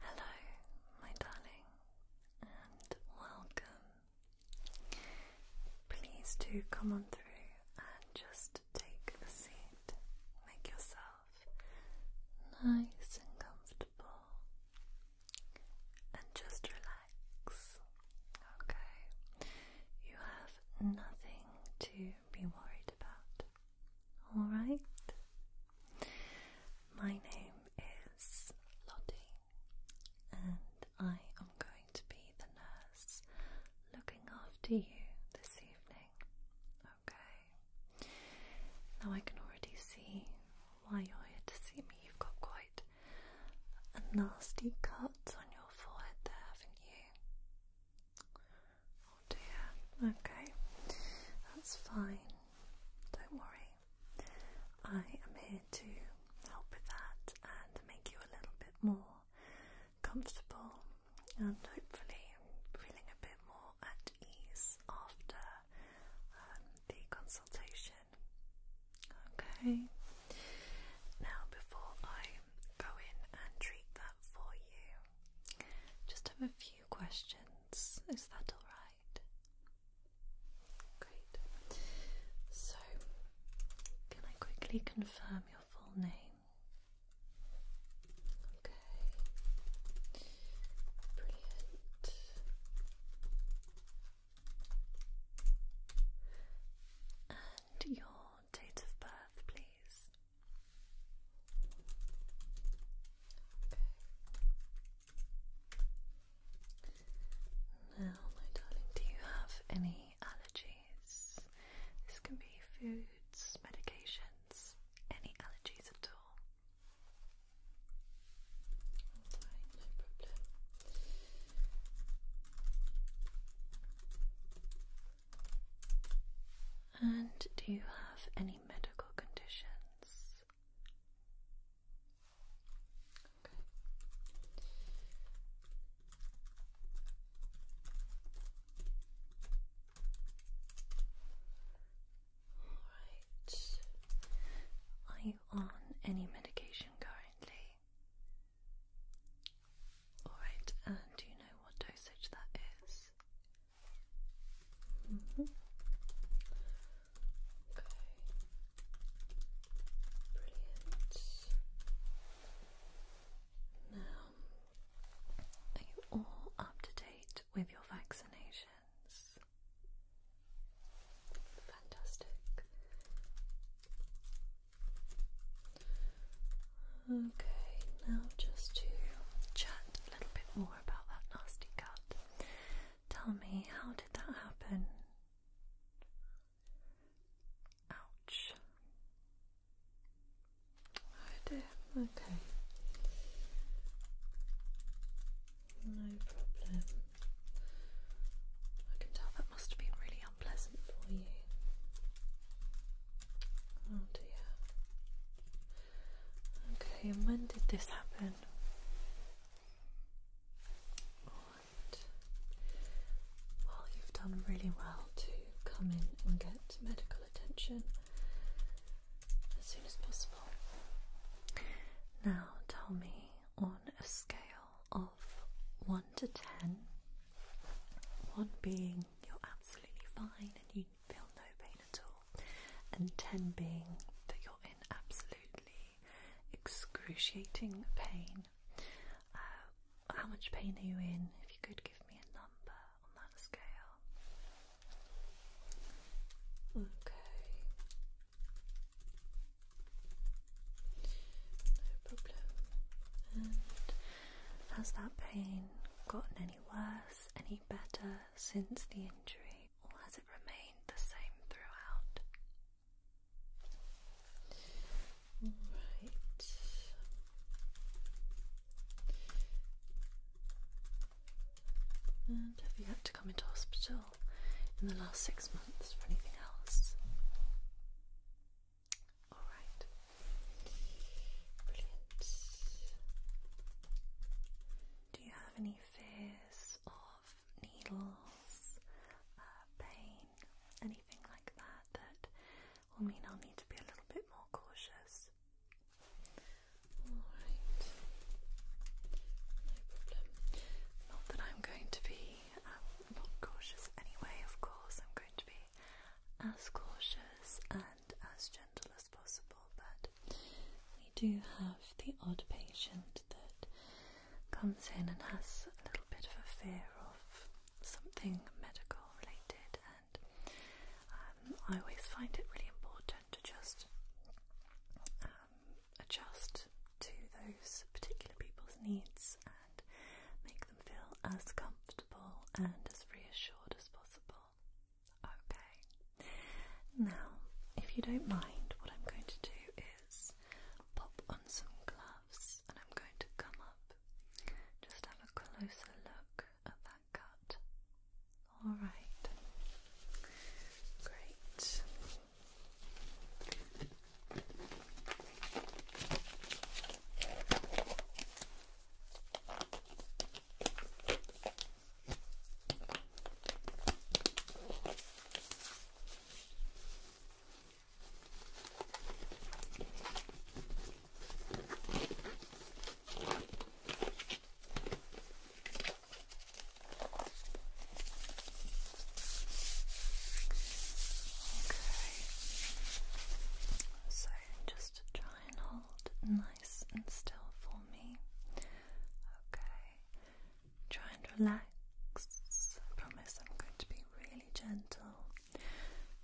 Hello, my darling, and welcome. Please do come on through and just take a seat. Make yourself nice and comfortable and just relax. Okay, you have nothing to be worried about. Alright? My name is Lottie, and I am going to be the nurse looking after you this evening. Okay? Now I can already see why you're here to see me. You've got quite a nasty cut on your forehead there, haven't you? Oh dear. Okay, that's fine. Don't worry. I am here to help with that and make you a little bit more comfortable and hopefully feeling a bit more at ease after um, the consultation. Okay. Now, before I go in and treat that for you, just have a few questions. Is that all right? Great. So, can I quickly confirm your full name? Okay. Brilliant. And your date of birth, please. Okay. Now, my darling, do you have any allergies? This can be foods, medications, any allergies at all. And do you have any medical conditions? Are you on any medication currently? Alright, and do you know what dosage that is? Mm-hmm. Okay. Brilliant. Now, are you all up to date with your vaccinations? Fantastic. Okay, now just to chat a little bit more about that nasty cut. Tell me, how did that happen? Ouch. Oh dear, okay. No problem. I can tell that must have been really unpleasant for you. Oh dear. Okay, when did this happen? Alright. Well, you've done really well to come in and get medical attention as soon as possible. Now tell me on a scale of 1 to 10, 1 being you're absolutely fine and you feel no pain at all, and 10 being that you're in absolutely excruciating pain. Uh, how much pain are you in? If you could give me a number on that scale. Okay. No problem. has that pain gotten any worse, any better since the injury, or has it remained the same throughout? Alright. And have you had to come into hospital in the last six months for anything else? Alright. Brilliant. Do you have any fears of needles, uh, pain, anything like that that will mean I'll need to be a little bit more cautious? Alright. No problem. Not that I'm going to be um, not cautious anyway, of course. I'm going to be as cautious and as gentle as possible, but we do have the odd patient that comes in and has a little bit of a fear of something medical related, and um, I always find it really important to just uh, um, adjust to those particular people's needs and make them feel as comfortable and as reassured as possible. Okay, now if you don't mind, what I'm going to do is pop on some gloves and I'm going to come up, just have a closer look at that cut. All right. Great. So just try and hold nice and still for me. Okay. Try and relax. I promise I'm going to be really gentle. I'm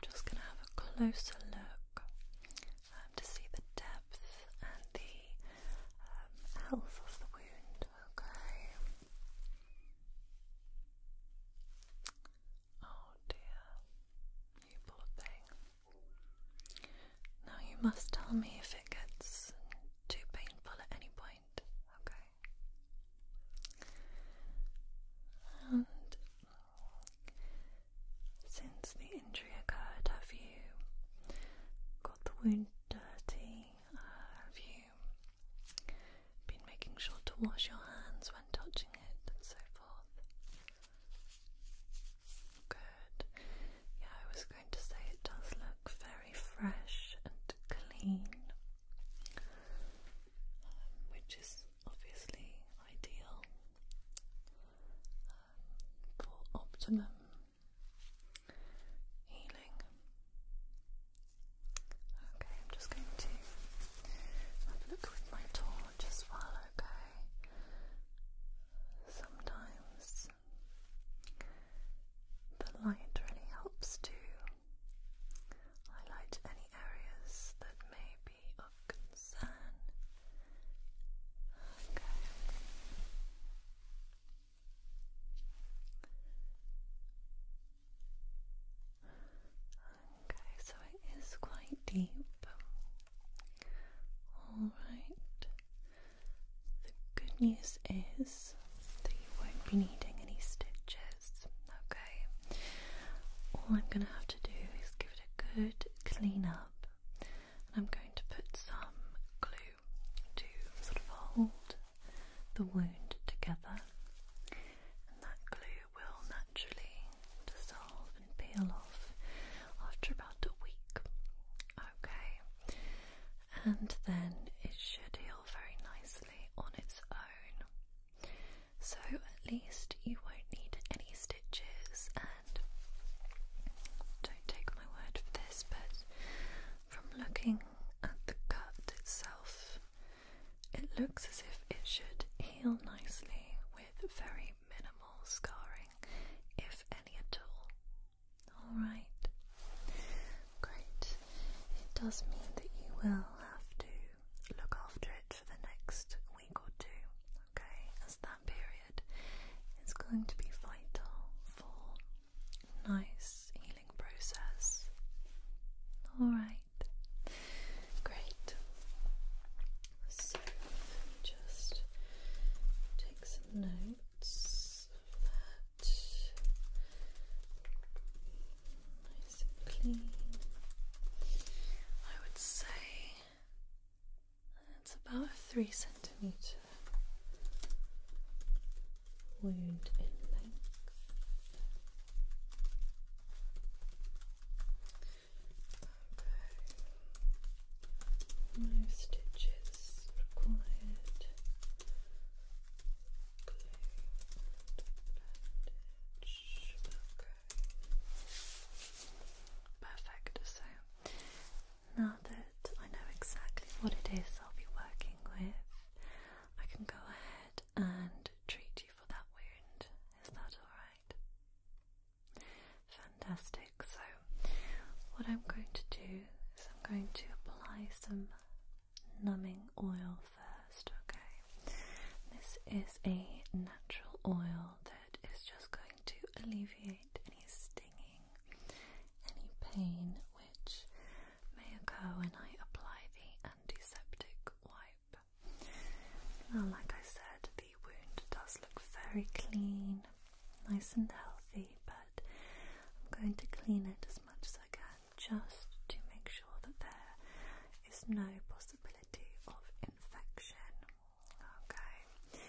just going to have a closer look um, to see the depth and the um, health of the wound, okay? Oh dear, you thing. Now you must tell me if it gets too painful at any point, okay? And since the injury occurred, have you the wound dirty? Uh, have you been making sure to wash your hands when touching it and so forth? Good. Yeah, I was going to say it does look very fresh and clean, um, which is obviously ideal um, for optimum healing. Okay, I'm just going to look with my torch as well, okay? Sometimes the light really helps to highlight any areas that may be of concern. Okay. Okay, so it is quite deep. Alright. The good news is that you won't be needing any stitches. Okay. All I'm going to have to do is give it a good clean up. And I'm going to put some glue to sort of hold the wound together, and that glue will naturally dissolve and peel off after about a week. Okay, and then it should heal very nicely on its own. So, at least you won't need any stitches and don't take my word for this, but from looking at the cut itself, it looks as if it should heal nicely with very minimal scarring, if any at all. Alright, great. It does mean that you will have to look after it for the next week or two, okay? As that period is going to be vital for nice healing process. Alright, great. So, let me just take some notes Nice and clean. I would say it's about three centimetre wound in length. Okay. No stitches required. Glue bandage. Okay. Perfect. So now that I know exactly what it is I'll be working with, I can go ahead and treat you for that wound. Is that alright? Fantastic. So, what I'm going to do is I'm going to apply some numbing oil first, okay? This is a natural oil that is just going to alleviate any stinging any pain which may occur when I apply the antiseptic wipe. Now, like I said, the wound does look very clean, nice and healthy, but I'm going to clean it as much as I can just to make sure that there is no possibility of infection. Okay,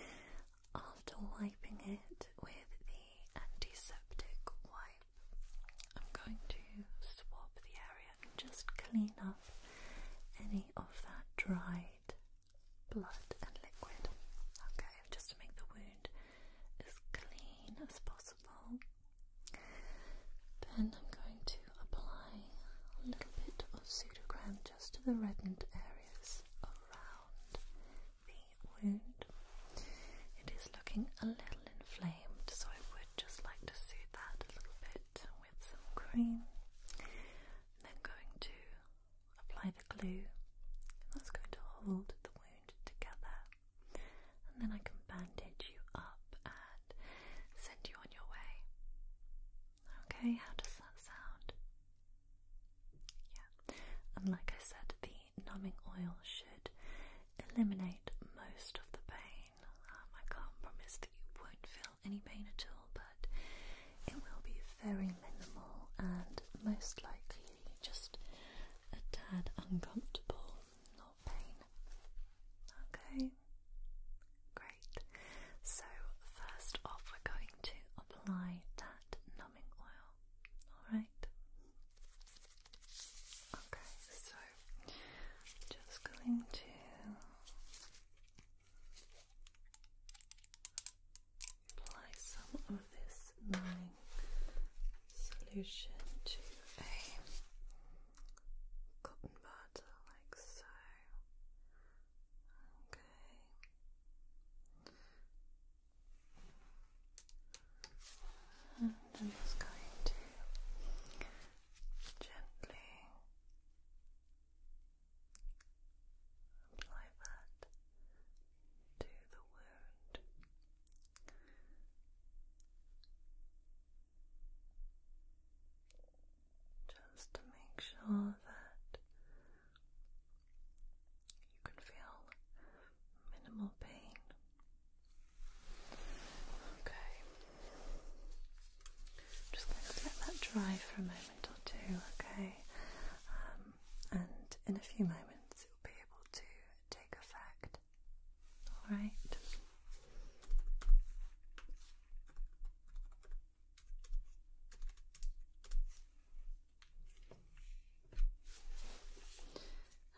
after wiping it with the antiseptic wipe, I'm going to swab the area and just clean up any of that dried blood and liquid. Okay, just to make the wound as clean as possible. Then I'm going to apply a little bit of pseudocreme just to the reddened areas around the wound. It is looking a little inflamed, so I would just like to soothe that a little bit with some cream. And then going to apply the glue, that's going to hold the wound together. And then I can bandage you up and send you on your way. Okay, how does that sound? Yeah, and like I said, the numbing oil should eliminate most of the pain. Um, I can't promise that you won't feel any pain at all, but it will be very minimal and most likely just a tad uncomfortable, not pain. Okay, great. So, first off, we're going to apply that oil. Alright? Okay, so just going to apply some of this numbing solution to a cotton bud like so. Okay. I'm just going to gently apply that to the wound. Just to make sure that you can feel minimal pain. Okay. just going to let that dry for a moment or two, okay? Um, and in a few moments it will be able to take effect. Alright?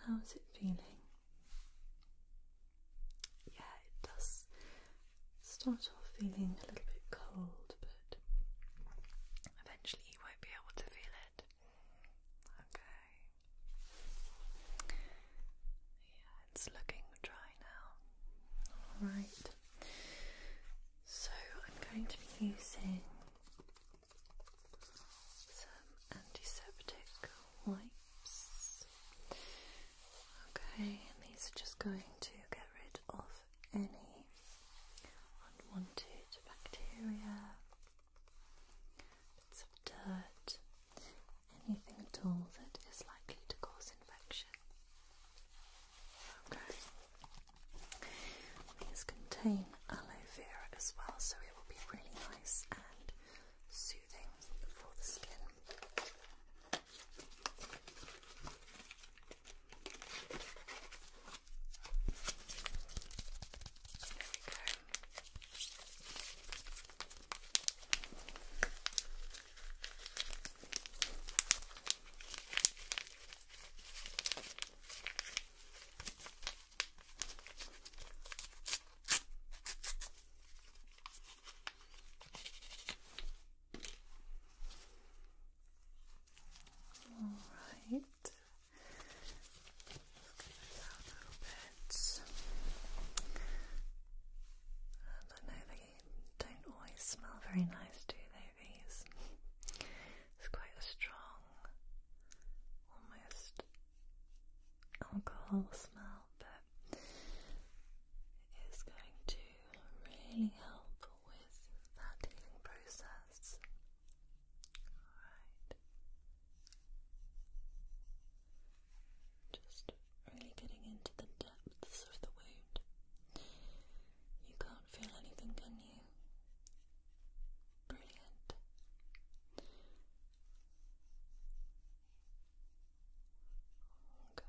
How's it feeling? Yeah, it does start off feeling a little bit cold, but eventually you won't be able to feel it. Okay. Yeah, it's looking dry now. Alright. So I'm going to be using some antiseptic wipes. Okay, and these are just going to get rid of any unwanted bacteria, bits of dirt, anything at all that is likely to cause infection. Okay. These contain aloe vera as well, so it will be really nice and soothing for the skin. There we go. All right. Just and I know they don't always smell very nice, do they? It's quite a strong, almost alcohol smell, but it is going to really help with that healing process. Alright. Just really getting into the depths of the wound. You can't feel anything, can you? Brilliant. Okay.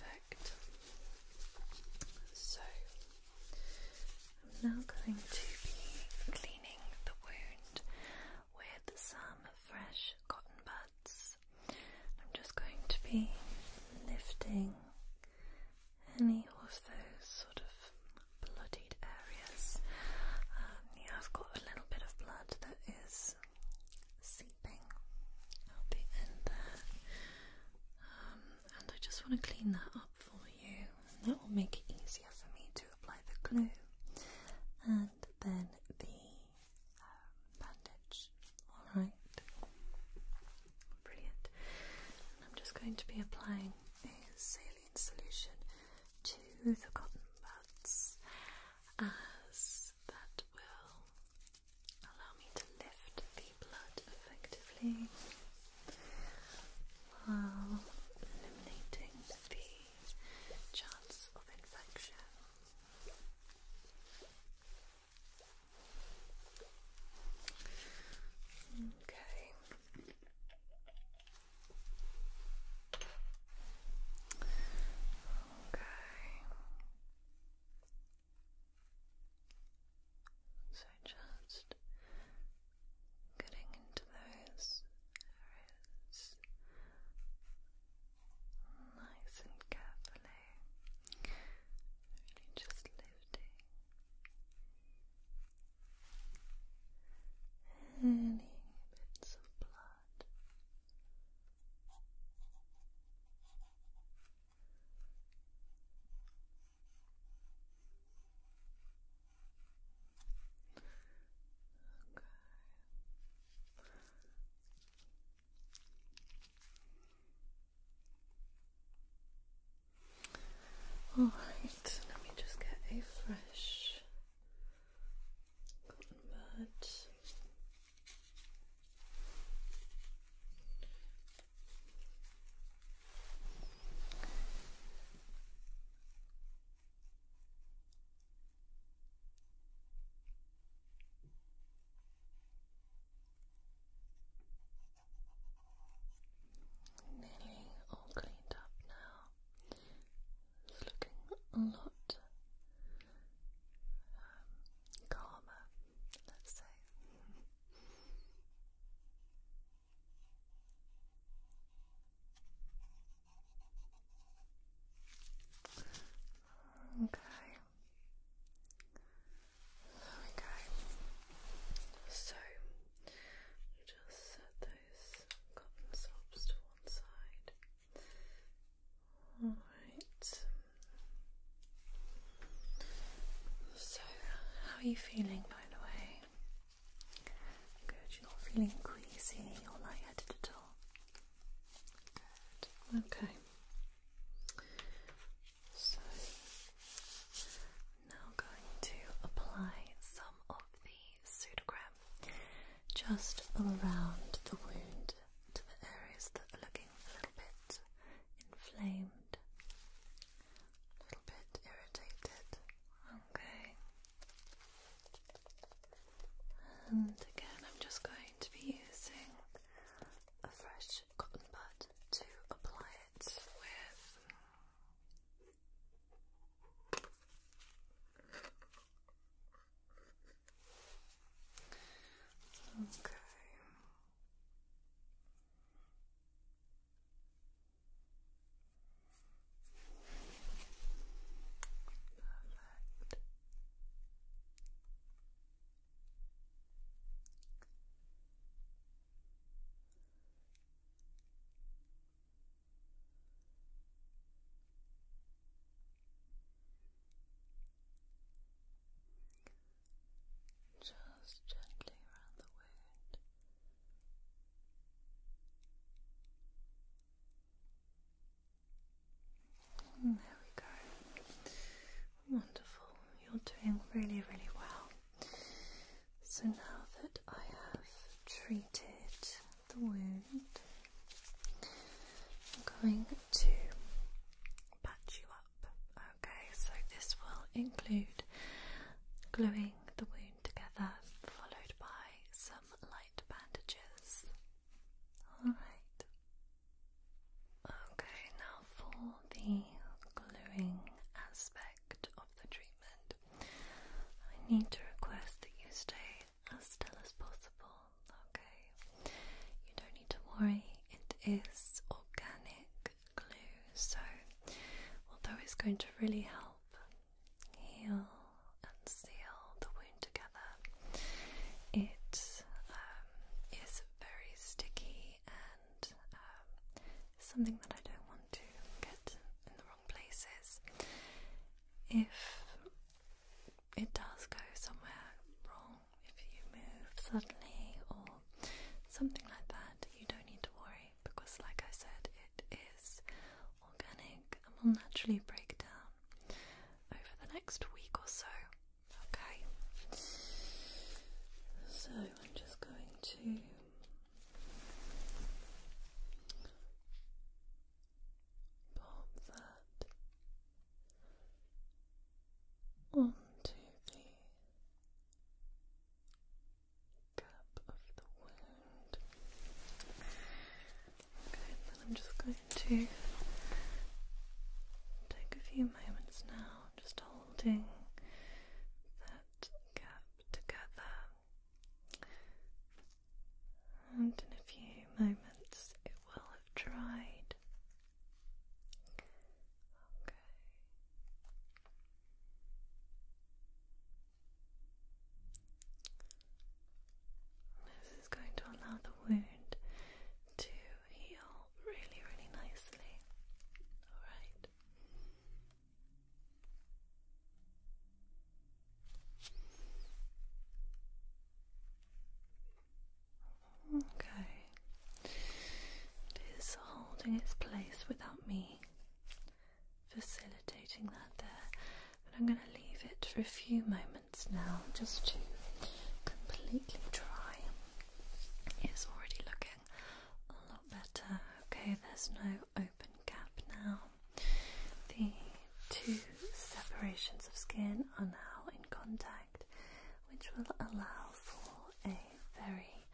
Perfect. So I'm now going to be cleaning the wound with some fresh cotton buds. I'm just going to be lifting any of those sort of bloodied areas. Um, yeah, I've got a little bit of blood that is seeping out the there, um, and I just want to clean that up for you. that will make it easier for me to apply the glue and then the um, bandage. Alright. Brilliant. I'm just going to be applying a saline solution to the cotton buds as that will allow me to lift the blood effectively while eliminating the chance of infection. Okay. Okay. So just getting into those areas nice and carefully, really just lifting any bits of blood. All right, let me just get a fresh cotton bud. Nearly all cleaned up now. It's looking a lot um, calmer, let's say. Okay. There we go. So just set those cotton to one side. Alright. So, how are you feeling by the way? Good, you're not feeling queasy or lightheaded at all. Good, okay. So, now going to apply some of the pseudogram just around the wound to the areas that are looking a little bit inflamed a little bit irritated. Okay. And again, I'm just going to be using a fresh cotton bud to apply it Okay. Perfect. Just gently around the wound there we go. Wonderful. You're doing really, really well. So now that I have treated the wound, I'm going to patch you up. Okay, so this will include gluing the wound together, followed by some light bandages. Alright. Okay, now for the gluing aspect of the treatment, I need to request that you stay as still as possible. Okay, you don't need to worry, it is organic glue, so although it's going to really help heal and seal the wound together. It um, very sticky and um, something that I don't want to get in the wrong places. If it does go somewhere wrong, if you move suddenly or something like that, you don't need to worry. Because, like I said, it is organic and will naturally break down over the next week or so. Okay, so I'm just going to. Pop that onto the cap of the wound. Okay, and then I'm just going to take a few moments now, just holding that cap together. And in a few moments, it will have dried. Okay. This is going to allow the wound to heal really, really nicely. Alright. Okay. It is holding its place without me facilitating that there. But I'm going to leave it for a few moments now just to completely dry. It's already looking a lot better. Okay, there's no open gap now. The two separations of skin are now in contact, which will allow for a very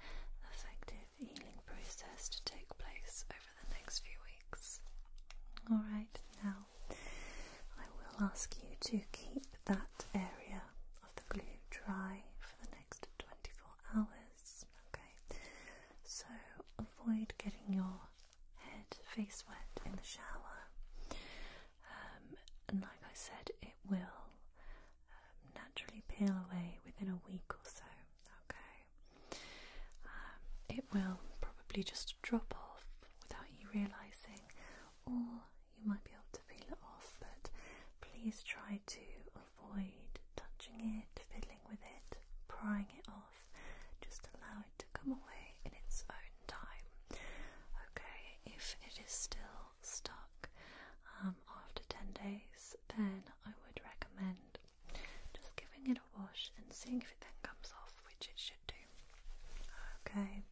effective healing process to take place over the next few weeks. Alright, now I will ask you to keep that area of the glue dry for the next 24 hours. Okay, so avoid getting your head face wet in the shower. Um, and like I said, it will um, naturally peel away within a week or so. Okay, um, it will probably just drop off without you realizing, or you might be able to peel it off. But please try to avoid touching it, fiddling with it, prying it off. Just allow it to come away in its own time. Okay, if it is still stuck um, after 10 days, then I would recommend just giving it a wash and seeing if it then comes off, which it should do. Okay.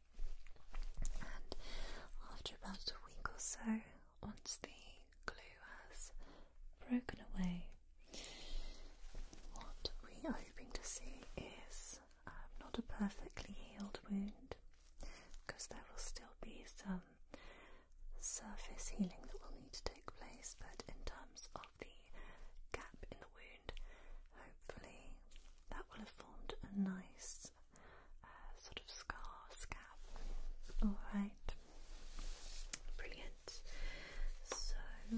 And after about a week or so, once the glue has broken away, what we are hoping to see is um, not a perfectly healed wound because there will still be some surface healing that will need to take place, but in terms of the gap in the wound, hopefully that will have formed a nice uh, sort of scar scab. Alright, brilliant. So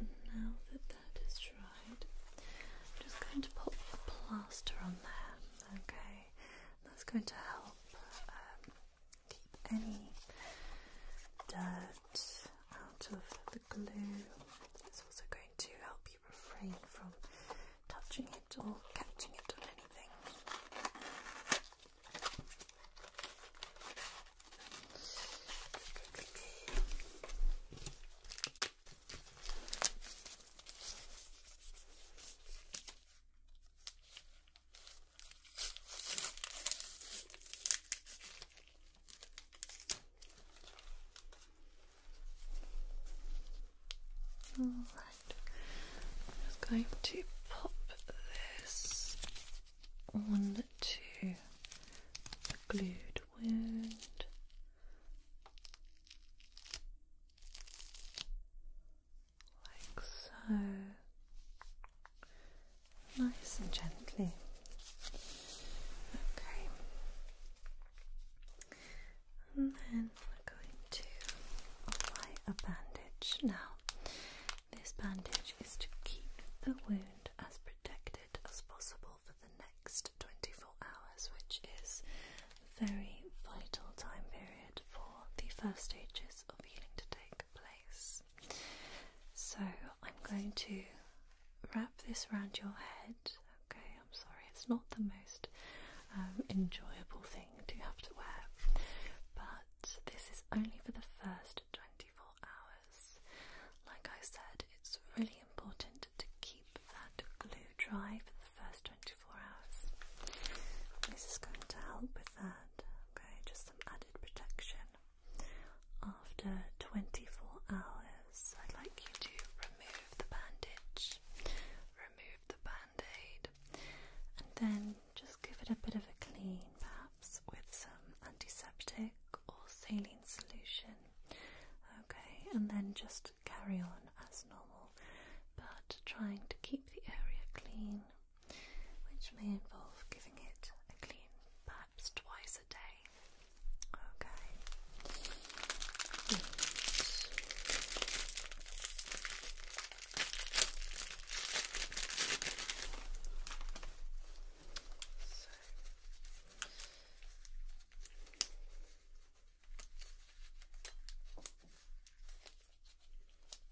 now that that is dried, I'm just going to pop a plaster on there, okay? That's going to help um, keep any dirt out of the glue. It's also going to help you refrain from touching it or catching it on anything right. I'm just going to pop this on to the glued wound like so, nice and gently. Okay, and then we're going to apply a bandage. Now, this bandage is to keep the wound as protected as possible for the next 24 hours, which is a very vital time period for the first stages of healing to take place. So I'm going to wrap this around your head. Okay, I'm sorry, it's not the most um, enjoyable thing to have to wear, but this is only for the first 24 hours. Like I said, it's really important to keep that glue dry for the first 24 to four hours. This is going to help with that. Okay, just some added protection. After 24 hours, I'd like you to remove the bandage, remove the band aid, and then just give it a bit of a clean, perhaps with some antiseptic or saline solution. Okay, and then just carry on as normal, but trying to keep the area clean which may involve giving it a clean perhaps twice a day. Okay.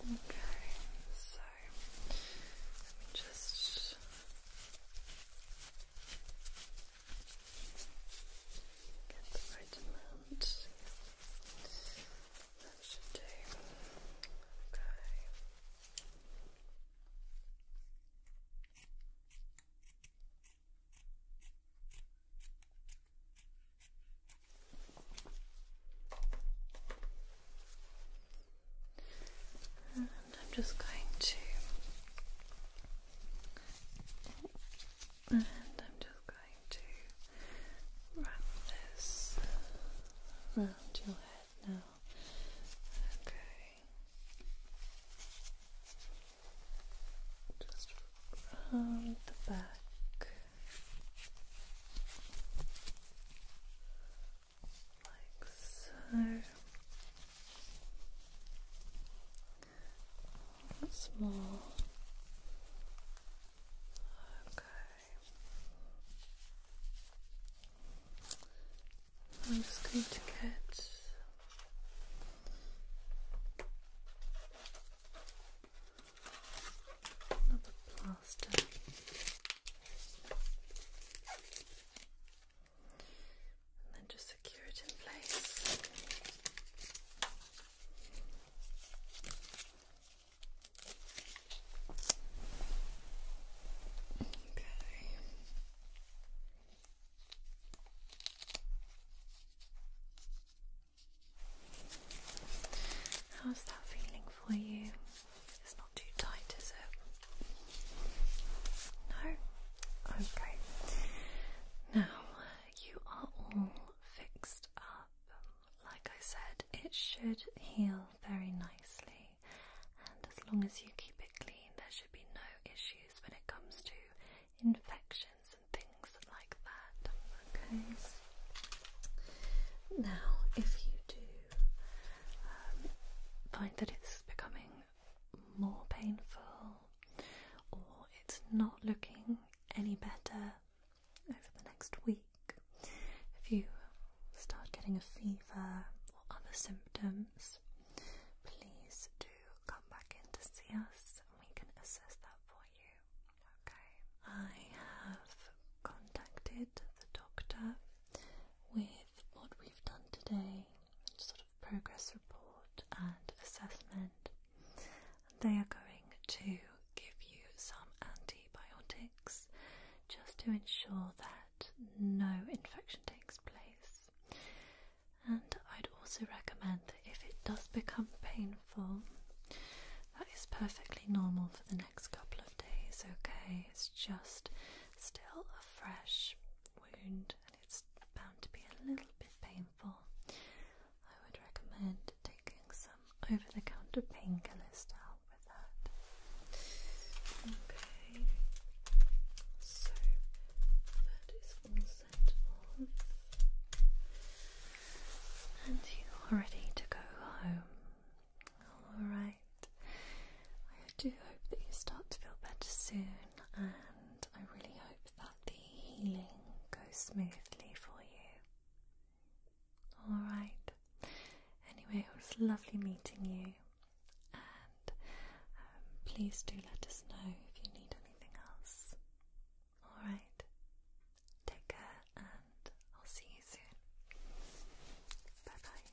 Okay, so let me just get the right amount. That should do. Okay. And I'm just going to and I'm just going to wrap this around your head now. Okay. Just round the back like so. Once Okay. I'm just going to get another plaster. And then just secure it in place. How's that feeling for you? It's not too tight, is it? No? Okay. Now, you are all fixed up. Like I said, it should heal very nicely. And as long as you keep it clean, there should be no issues when it comes to infections and things like that. Okay. Now, if you do um, find that it's becoming more painful or it's not looking any better over the next week, if you start getting a fever other symptoms, please do come back in to see us and we can assess that for you. Okay. I have contacted the doctor with what we've done today, sort of progress report and assessment. They are going to give you some antibiotics just to ensure that no infection takes place. And I'd also recommend that if it does become painful, that is perfectly normal for the next couple of days, okay? It's just still a fresh wound and it's bound to be a little bit painful. I would recommend taking some over the counter painkillers to Okay, so that is all set And you are ready to go home. Alright. I do hope that you start to feel better soon, and I really hope that the healing goes smoothly for you. Alright. Anyway, it was lovely meeting you and um, please do let us know if you need anything else. Alright, take care, and I'll see you soon. Bye bye.